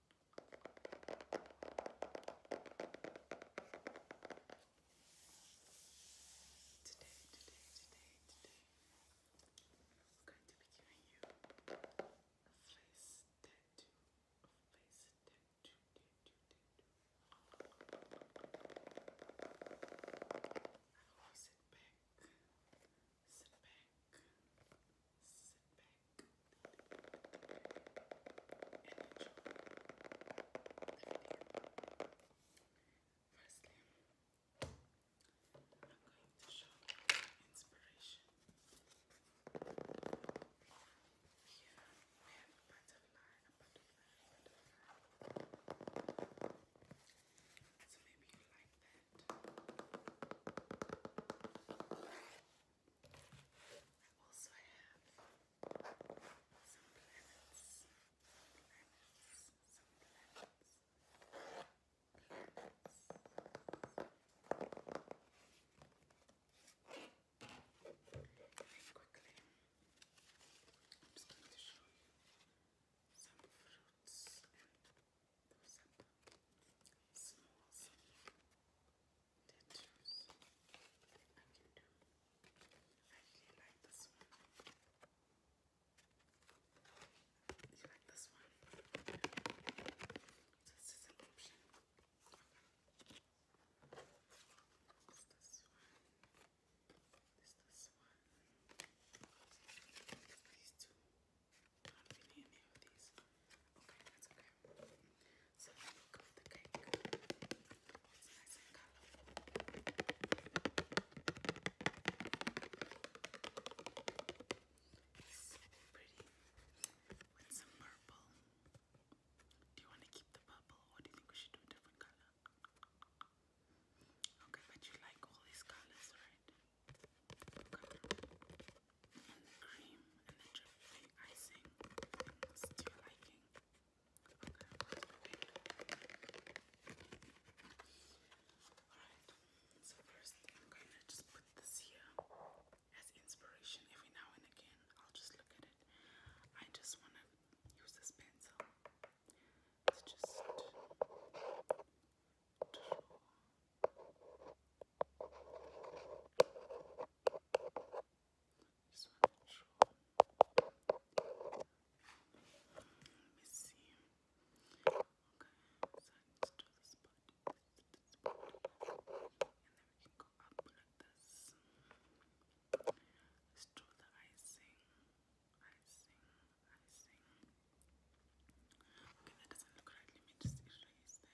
Today, today, today, today, I'm going to be giving you a face tattoo, a face tattoo, tattoo, tattoo. sit back, sit back, sit Firstly, I'm going to show you inspiration. Here we have butterfly, butterfly. So maybe you like that. I have some planets, some some planets, planets. quickly, I'm just going to show you some fruits and those are dentures I really like this one. you like this one? This is an option. Okay. It's one. It's this one. These two. I don't even need any the cake. it's nice and colorful. It's so pretty with some purple. Do you want to keep the purple or do you think we should do a different color? Okay, but you like all these colors, right? cover and cream and the icing to your liking. Okay, Alright, so first I'm going to just put this here as inspiration every now and again. I'll just look at it. I just want to use this pencil to just this one i Let me see. Okay, so let's do this part. And then we can go up like this. Let's do the Icing. Okay, that doesn't look right. Let me just erase that.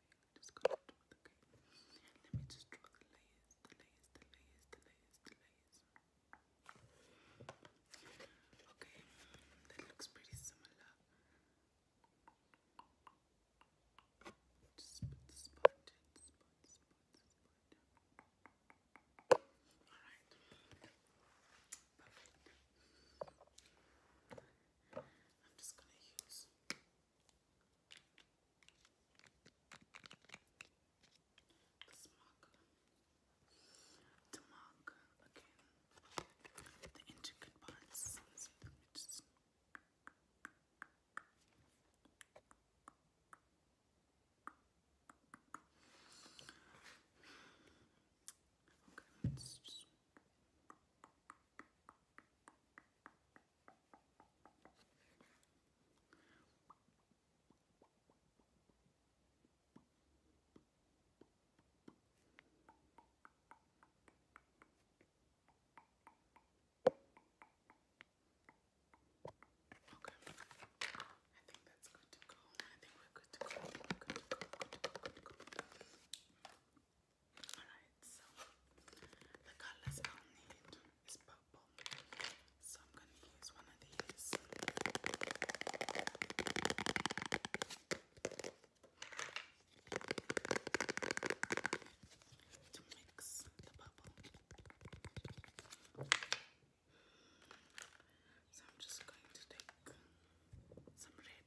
really just Let me just draw the layers, the layers, the layers, the layers, the layers. Okay, that looks pretty similar. Just put the spot in, spot, spot, spot. Alright. Perfect. I'm just gonna use Smog. Tamog again. The intricate parts. let us just Okay. I think that's good to go. I think we're good to go. Good to go. Good to go. Good to go. Good to go. Alright, so the colors I'll need is purple. So I'm gonna use one of these. To mix the bubble. So I'm just going to take some red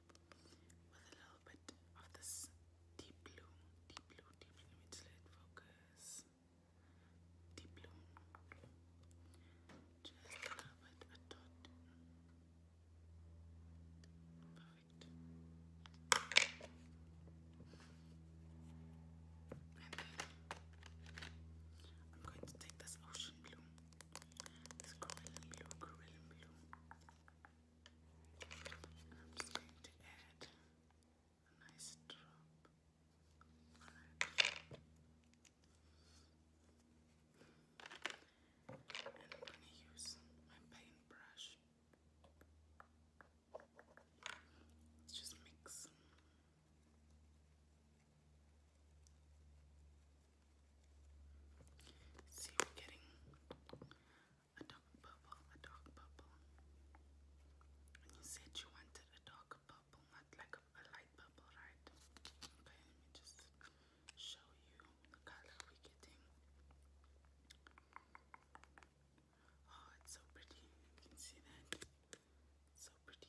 with a little bit of this deep blue, deep blue, deep blue. Let let focus. Deep blue. Just a little bit, a dot. Perfect. And then I'm going to take this ocean blue, this coral blue, coral blue, and I'm just going to add a nice drop And I'm going to use my paintbrush. Let's just mix. See, we're getting a dark purple, a dark purple. you said you wanted a dark purple, not like a, light purple, right? Okay, let me just show you the color we're getting. Oh, it's so pretty. You can see that. so pretty.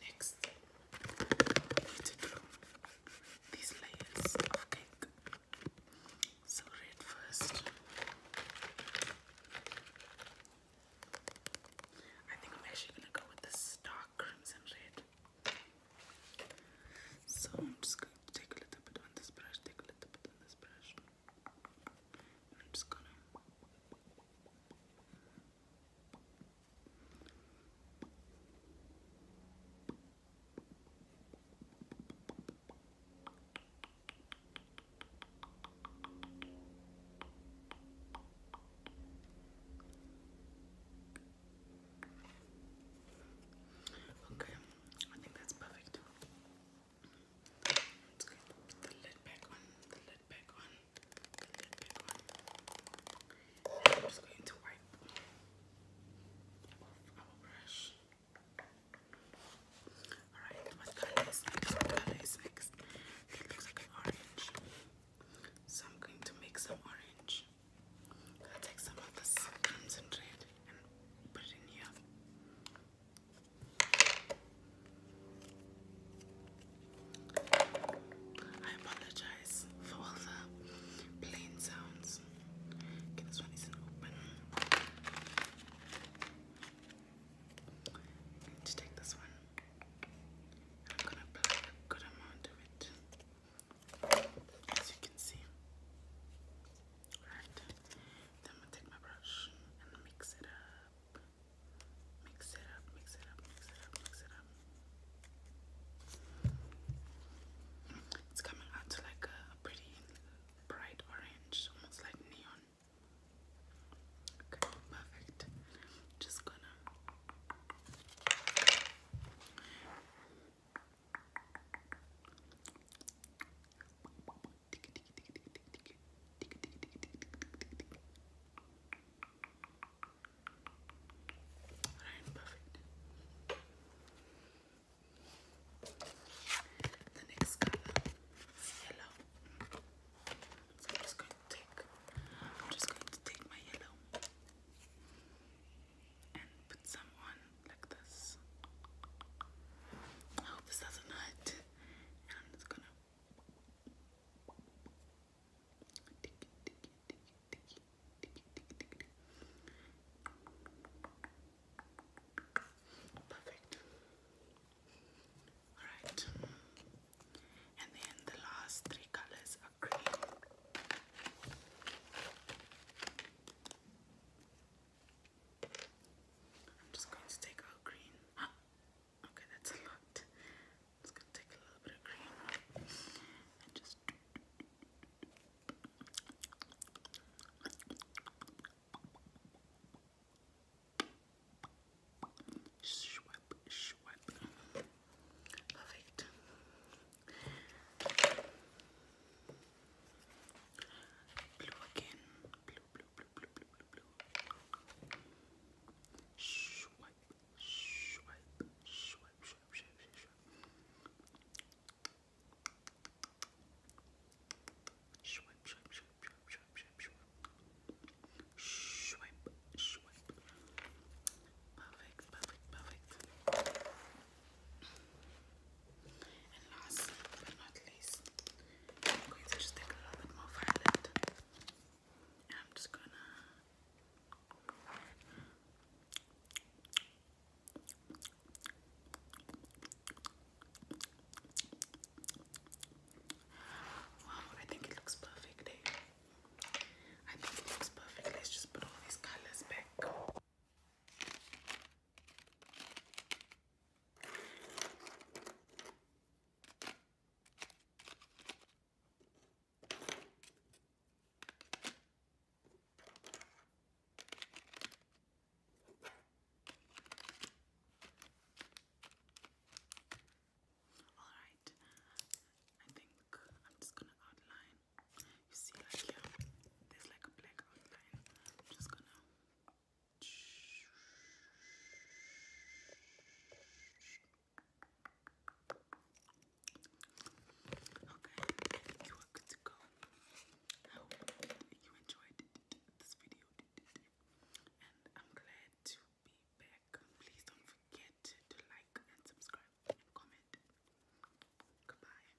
Next, we these layers of cake. So red first. I think I'm actually gonna go with this dark crimson red. So I'm just going to take a little bit on this brush, take a little bit on this brush. I'm just gonna Okay, I think that's perfect. Let's go put the lid back on, the lid back on, the lid back on. I'm just going to wipe off brush. Alright, what color is It looks like an orange. So I'm going to make some orange. I'll take some of this crimson and put it in here. I apologize for all the plain sounds. Okay, this one isn't open. I take this one. I'm gonna apply a good amount of it. As you can see. Alright, then I'm gonna take my brush and mix it up. Mix it up, mix it up, mix it up, mix it up. It's coming out to like a pretty bright orange, almost like neon. Okay, perfect. Just gonna. Alright, perfect. The next color yellow. So I'm just going to take I'm just going to take my yellow and put some on like this. I hope this doesn't hurt. I'm just gonna Perfect. Alright. And then the last three colors are green. I'm just going to take out green. Okay, that's a lot. i going to take a little bit of green and just. Swipe, swipe. Perfect. Blue again, blue, blue, blue, blue, blue, blue, blue, blue. Swipe, swipe, swipe, swipe, swipe, swipe, swipe. Swipe, swipe, swipe, swipe, swipe, swipe, swipe. Swipe, swipe. Perfect, perfect, perfect. And last but not least, I'm going to just take a little bit more violet. And I'm just gonna Wow, I think it looks perfect. Eh? I think it looks perfect. Let's just put all these colors back. All right, I think I'm just gonna outline. You see, like here, there's like a black outline. I'm just gonna Okay, you are good to go. I hope you enjoyed this video, and I'm glad to be back. Please don't forget to like and subscribe comment. Goodbye.